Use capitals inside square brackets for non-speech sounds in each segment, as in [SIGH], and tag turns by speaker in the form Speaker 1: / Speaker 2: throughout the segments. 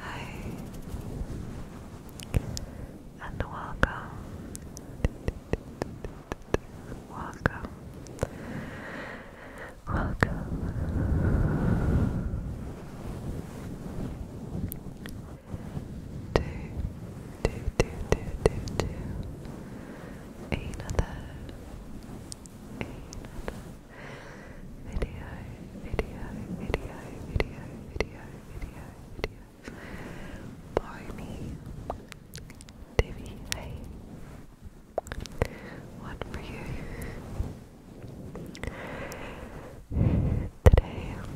Speaker 1: Hi, and welcome. Welcome. Welcome to, to, to, to, to, to another, another, video, video, video, video, video, video, video. Borrow me, Debbie, One for you. Today, I'm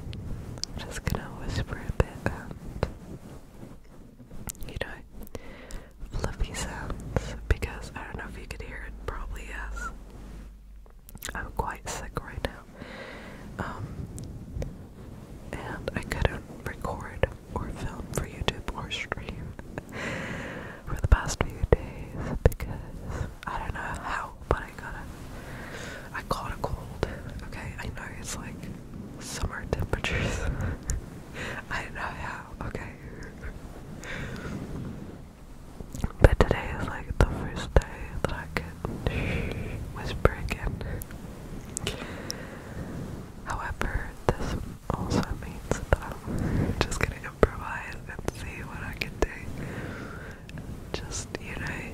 Speaker 1: just gonna whisper a bit um, you know, fluffy sounds because I don't know if you could hear it, probably yes. I'm quite sick right now. Um, and I couldn't record or film for YouTube or stream for the past few days because I don't know how, but I got a, I caught a cold. Okay, I know it's like summer temperatures. [LAUGHS] I don't know how. Okay. But today is like the first day that I could whisper again. However, this also means that I'm just gonna improvise and see what I can do. Just, you know,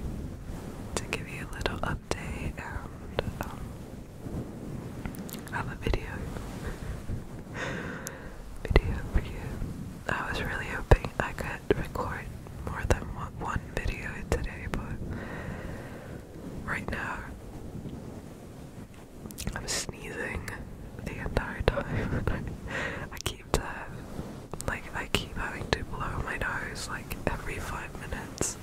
Speaker 1: to give you a little update and um, have a video. video for you. I was really hoping I could record more than one video today, but right now I'm sneezing the entire time. [LAUGHS] I keep to like I keep having to blow my nose like every five minutes.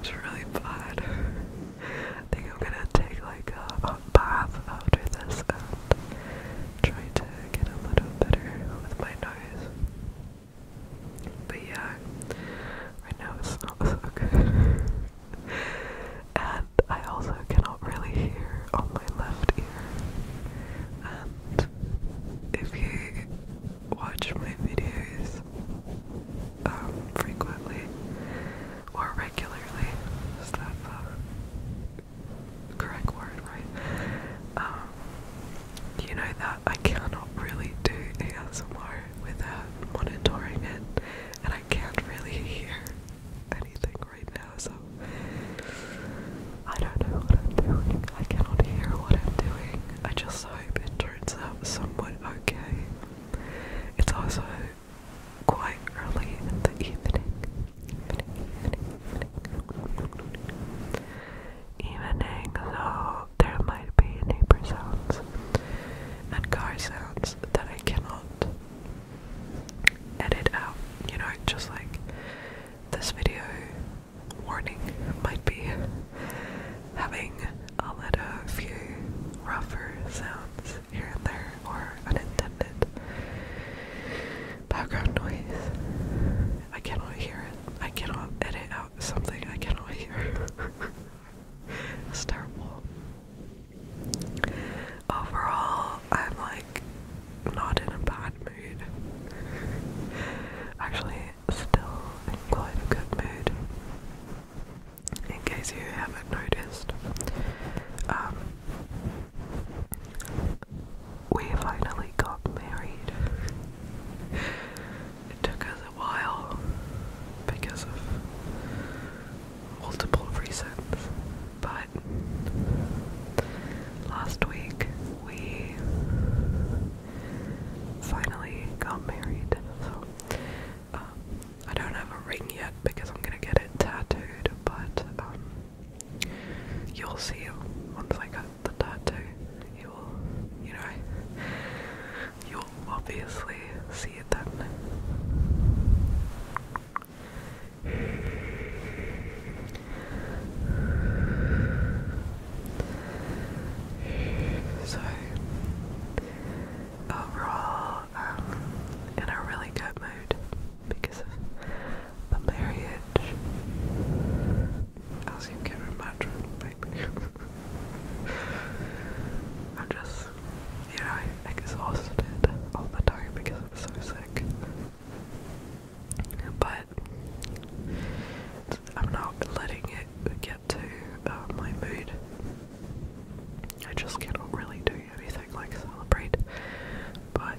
Speaker 1: It's really bad. I think I'm gonna take like a, a bath after this and try to get a little better with my nose. But yeah, right now it's [LAUGHS] so good. and I also cannot really hear on my left ear. And if you watch my videos um, frequently or regularly, so correct word, right? Um, you know that I cannot really do ASMR without monitoring it, and I can't really hear anything right now, so I don't know what I'm doing. I cannot hear what I'm doing. I just hope it turns out somewhat okay. It's also quite early in the evening, Evening, though there might be neighbor sounds and car sounds that I cannot edit out. You know, just like this video warning might be having a little few rougher sounds here and there or unintended background noise. I cannot hear it. I cannot edit out something I cannot hear. [LAUGHS] it's Overall, I'm like not in a bad mood. Actually, still in quite a good mood. In case you haven't noticed, um, we finally got married. It took us a while because of multiple reasons, but last week we finally got married. So um, I don't have a ring yet because I'm gonna get it tattooed, but um, You'll see it once I get the tattoo. You'll, you know, you'll obviously see it then. So, overall, um, in a really good mood because the marriage, as you can imagine, maybe. I'm just, you know, exhausted all the time because I'm so sick. But I'm not letting it get to uh, my mood. I just cannot really do anything like celebrate but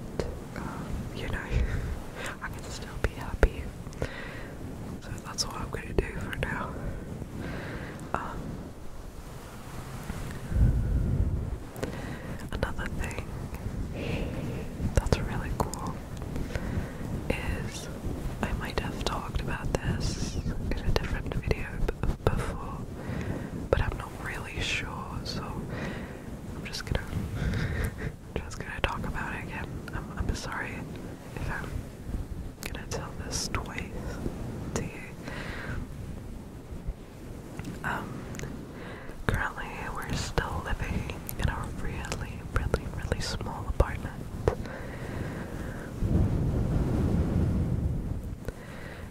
Speaker 1: um, you know, [LAUGHS] I can still be happy. So that's what I'm gonna do for now. Um, another thing that's really cool is I might have talked about this in a different video before, but I'm not really sure, so I'm just gonna [LAUGHS] just gonna talk about it again. I'm, sorry if I'm gonna tell this twice to you. Um, currently we're still living in a really, really, really small apartment.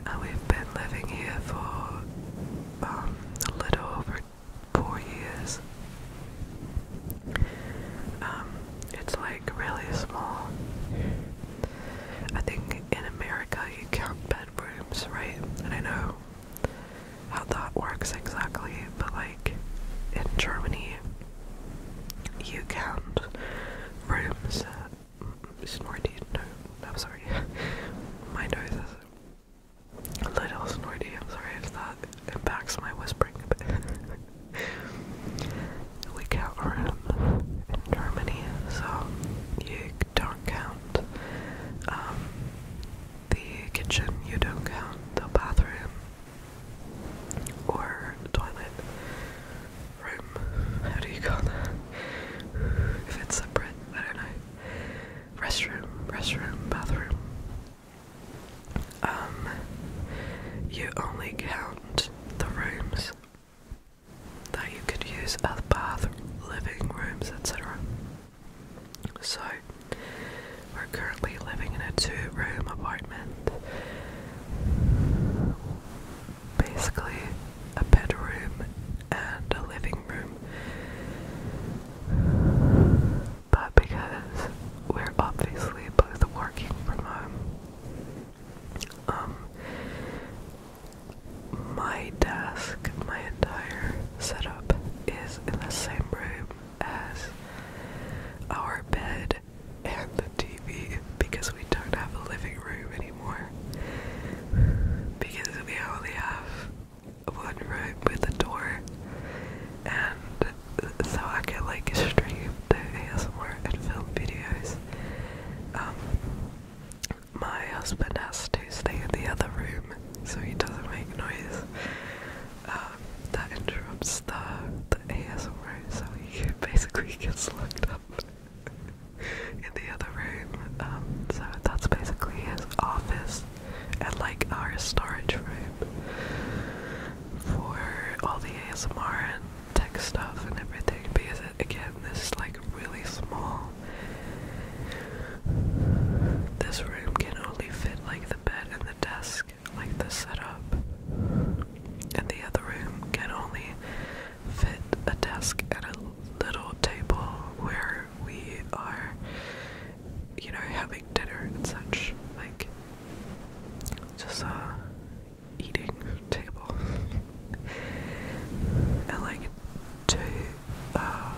Speaker 1: And we've been living here for um, a little over four years. Um, it's like really small. I think in America you count bedrooms, right? And I know how that works exactly, but like in Germany you count rooms. Uh, snorted, no, I'm sorry. [LAUGHS] My nose little snorty. I'm sorry if that impacts my whispering a [LAUGHS] we count room in Germany, so you don't count um, the kitchen, you don't count the bathroom or the toilet room. How do you call that? If it's separate, I don't know restroom, restroom, bathroom. Um, you only count the rooms that you could use as uh, bath, living rooms, etc. So, we're currently living in a two room apartment. Basically, a bedroom and a living room but because we're obviously both working from home, um, my desk, my entire setup is in the same room as our bed and the TV because we don't have a living room anymore. Because we only have wood room with a door, and so I can like stream the ASMR and film videos. Um, my husband has to stay in the other room so he doesn't make noise. Um, that interrupts the, the ASMR, so he [LAUGHS] basically gets locked up [LAUGHS] in the other room. Um, so that's basically his office and like our storage room for all the ASMR and tech stuff and everything because it, again this is like really small. This room can only fit like the bed and the desk, like the setup. And the other room can only fit a desk and a little table where we are you know, having dinner and such, like just uh eating table. [LAUGHS] and like two uh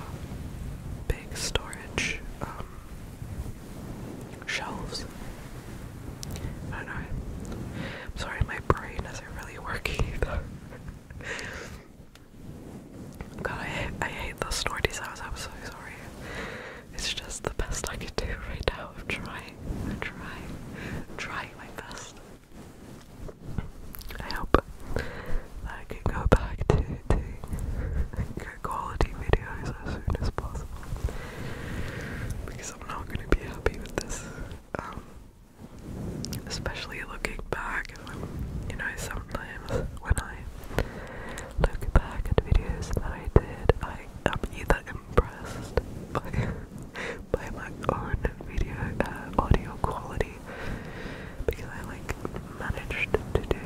Speaker 1: big storage um shelves. I know. sorry my brain isn't really working either. [LAUGHS] God, I hate, I hate the snorty i was absolutely sorry. It's just the best I can do right now. I'm trying. trying. trying my best. I hope I can go back to doing good quality videos as soon as possible. Because I'm not going to be happy with this. Um, especially looking back you know, sometimes when I look back at videos that I did, I am either impressed by [LAUGHS] by my own video uh, audio quality because I like managed to do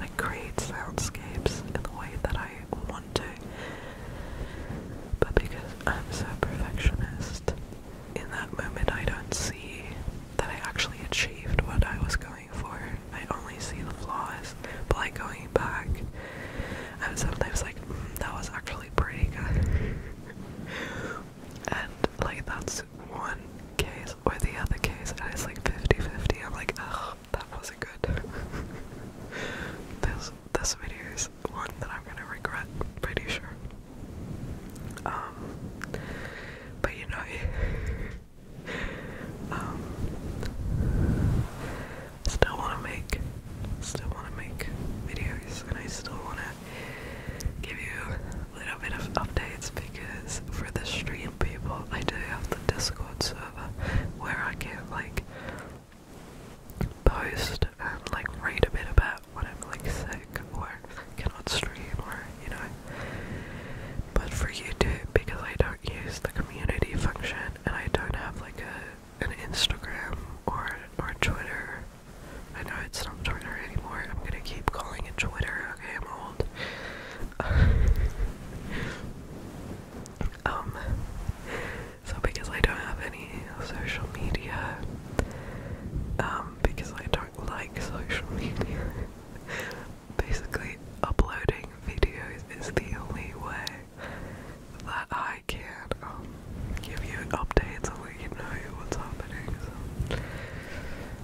Speaker 1: like create soundscapes in the way that I want to, but because I'm so perfectionist, in that moment I don't see that I actually achieved what I was going for. I only see the flaws, but like going back, I'm sometimes like, mm, that was actually pretty good. and like that's one case or the other case, and it's like 50-50. I'm like, ugh, that wasn't good. [LAUGHS] this this video is one that I'm gonna regret, pretty sure. Um but you know, um, still want to make, still want to make videos, and I still want to give you a little bit of updates because for the stream people, I do have the Discord server where I can like post and like read a bit about what I'm like saying or cannot stream or you know. But for YouTube, because I don't use the community function and I don't have like a an Instagram or or Twitter. I know it's not Twitter anymore. I'm gonna keep calling it Twitter. Okay, I'm old. [LAUGHS] um. So because I don't have any social media, um, because I don't like social media, [LAUGHS] [LAUGHS] Basically, uploading videos is the only way that I can um, give you updates and let you know what's happening. So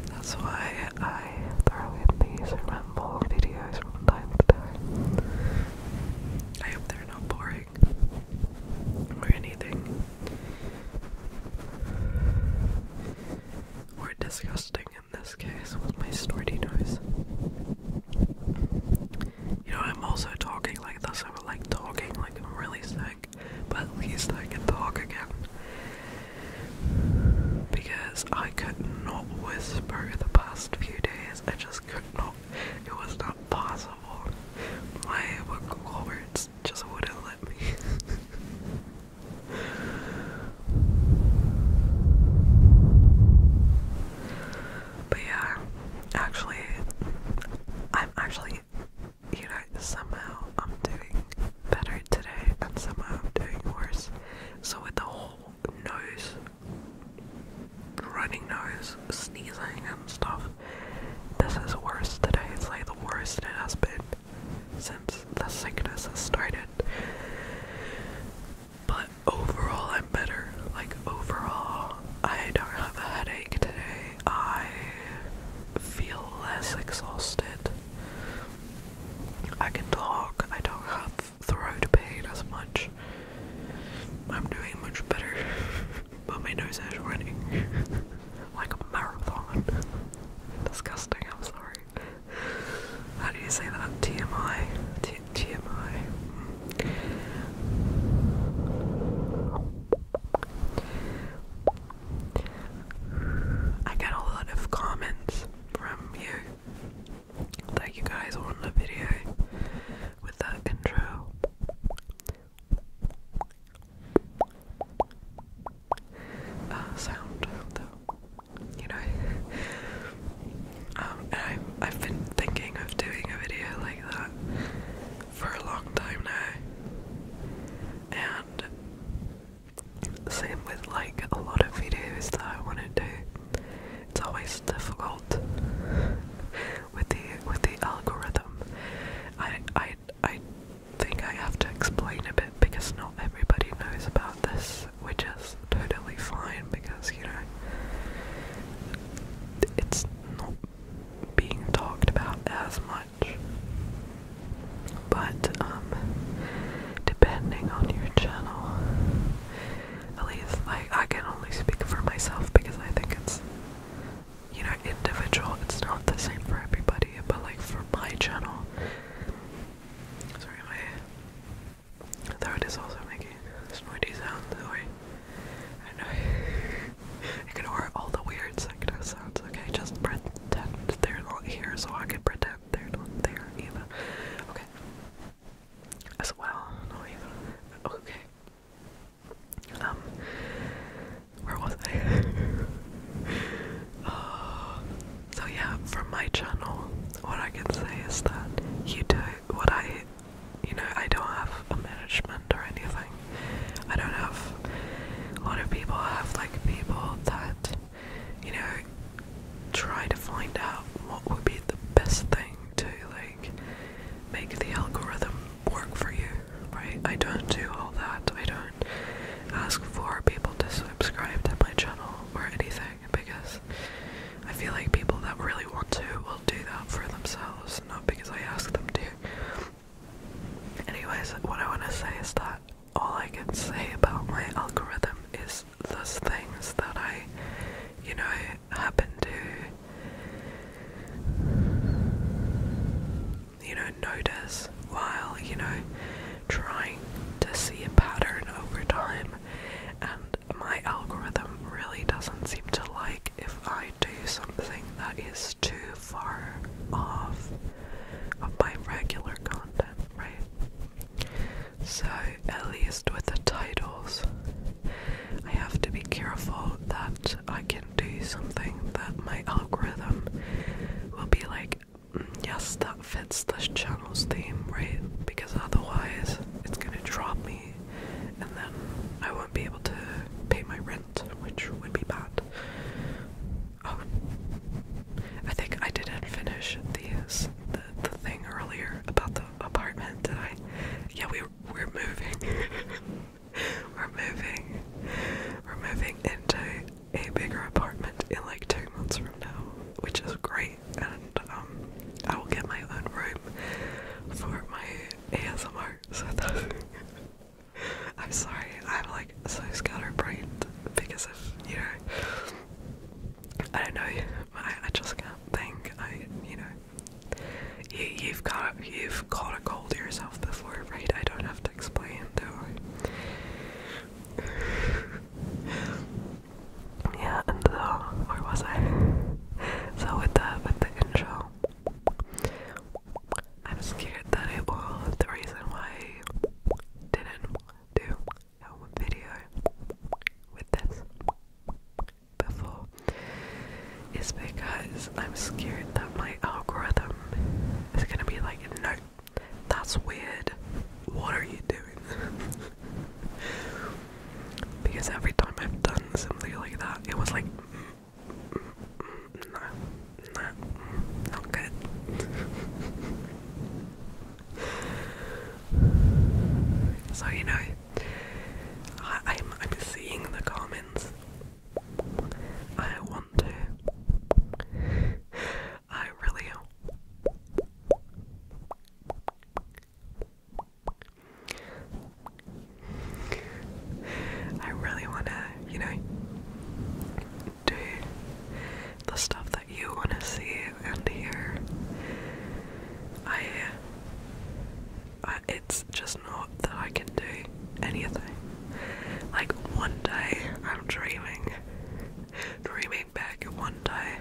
Speaker 1: that's why I throw in these ramble videos from time to time. I hope they're not boring or anything or disgusting in this case with my snorty noise. You know, I'm also talking like this. I'm like talking like I'm really sick, but at least I can talk again. Because I could not whisper the past few days. I just could not. It was not possible. My vocal cords just wouldn't let me. [LAUGHS] But yeah, actually, I'm actually, you know, somehow I'm doing better today and somehow I'm doing worse. So, with the whole nose, running nose, sneezing and stuff, this is worse today. It's like the worst it has been since the sickness has started. But overall, I'm better. Like, overall, I don't have a headache today. I feel less exhausted. I can talk. I don't have throat pain as much. I'm doing much better, [LAUGHS] but my nose is running [LAUGHS] like a marathon. [LAUGHS] Disgusting, I'm sorry. How do you say that? TMI. TMI. I get a lot of comments from you Thank you guys want the video with that intro. Uh, sound, though. You know, um, and I've, I've been thinking of doing a video like that for a long time now, and same with like a lot of videos that I want to do. It's always difficult with the with the algorithm. I I I think I have to explain a bit because not everybody knows about this, which is totally fine because, you know, it's not being talked about as much. But, um, depending on your channel, at least, like, I can only speak for myself because I think it's, you know, individual, it's not the same for everybody, but, like, for my channel, Sorry, my throat is also making snorty sounds. Sorry. I know. [LAUGHS] I can ignore all the weird sector sounds, okay? Just pretend they're not here so I can pretend they're not there either. Okay. As well, no even. Okay. Um, where was I? uh, [LAUGHS] So yeah, from my channel, what I can say is that you do what I, you know, I don't have a management or anything. I don't have a lot of people. I have like people that, you know, try to find out what would be the best thing to like make the algorithm work for you, right? I don't do all that. I don't ask for people to subscribe to my channel or anything because I feel like people that really want to will do that for themselves, not because I ask them to. Anyways, what I want to say is that all I can say about my algorithm is those things that I, you know, happen to, you know, notice while, you know, trying to see a pattern over time. And my algorithm really doesn't seem to like if I do something that is too far off of my regular content, right? So, at least with the titles, I have to be careful that I can do something that my algorithm will be like, yes, that fits this channel's theme, right? Because otherwise, it's gonna drop me, and then I won't be able to pay my rent, which would be bad. Oh, I think I didn't finish the the thing earlier about the apartment. Did I? Yeah, we we're moving. [LAUGHS] we're moving. We're moving into a bigger apartment in like two months from now, which is great. And um, I will get my own room for my ASMR. So [LAUGHS] I'm sorry, I'm like so scatterbrained because of you know, I don't know, I, I just can't think. I you know, you, you've got you've caught a cold yourself before, right? I don't have to explain, do I? yeah, and so where was I? So with the with the intro, I'm scared that it will. The reason why I didn't do a video with this before is because I'm scared that my algorithm is gonna be like, no, that's weird. What are you doing? [LAUGHS] because every time I've done something like that, it was like, mm, mm, mm, no, no, mm, not good. [LAUGHS] so you know, I, I'm I'm seeing the comments. I want to. I really I really want to, you know, do the stuff that you want to see and hear. I, I, it's just not that I can do anything. Like one day, I'm dreaming, dreaming back one day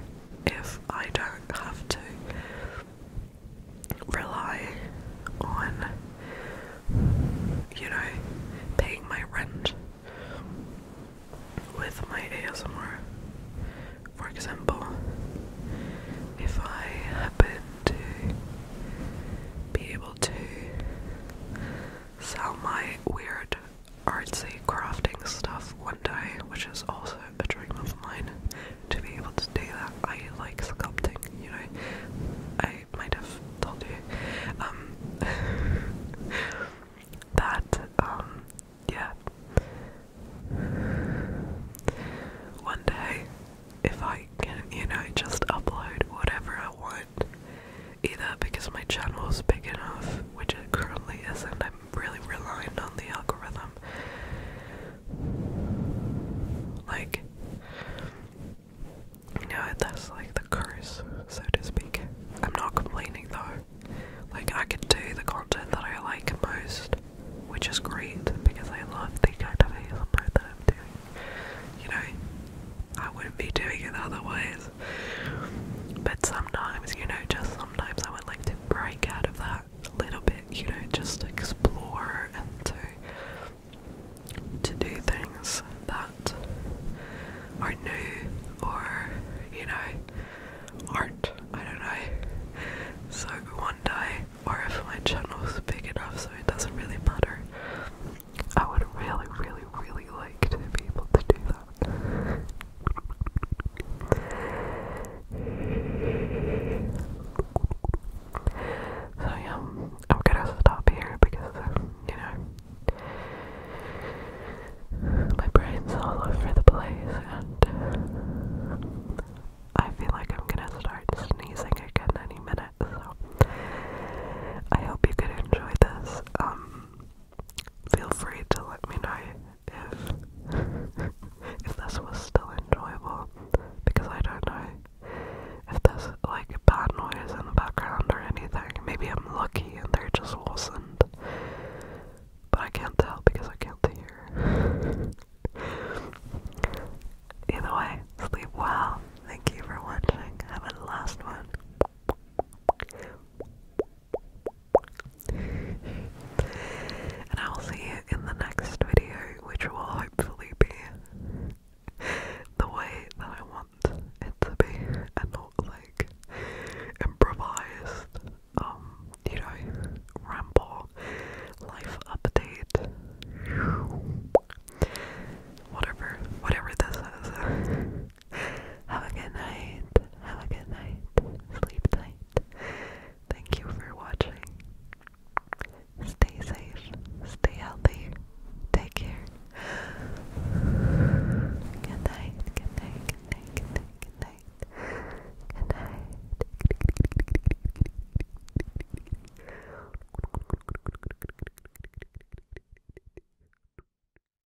Speaker 1: if I don't have to rely on, you know, paying my rent with my ASMR. For example, if I happen to be able to sell my weird artsy crafting stuff one day, which is also a dream of mine to be able to do that. I like sculpting, you know. I might have told you. Um, [LAUGHS] that um, yeah. One day if I can, you know, just upload whatever I want either because my channel is big enough, which it currently isn't. I'm really reliant on the algorithm. Like, you know, that's like the curse, so to speak. I'm not complaining though. Like, I can do the content that I like most, which is great because I love the kind of ASMR that I'm doing. You know, I wouldn't be doing it otherwise. But sometimes, you know, just sometimes I would like to break out of that a little bit, you know, just explore and to do things that are new or, you know, aren't, I don't know. So one day, or if my channel's big enough so it doesn't really matter, I would really, really, really like to be able to do that. So yeah, I'm gonna stop here because uh, you know my brain's all over the place and uh, I feel like I'm gonna start sneezing again any minute. So I hope you could enjoy this. Um feel free to let me know if [LAUGHS] if this was still enjoyable because I don't know if there's like bad noise in the background or anything. Maybe I'm lucky and they're just wasn't. But I can't tell because I can't hear. [LAUGHS] Either way, sleep well. Thank you for watching. Have a last one and I will see you in the next video, which will hopefully be the way that I want it to be and not like improvised, um, you know, ramble life update. Whatever, whatever this is. Have a good night. Have a good night. Sleep tight. Thank you for watching. Stay safe. Stay healthy. Take care. Good night. Good night. Good night. Good night. Good night. Good night.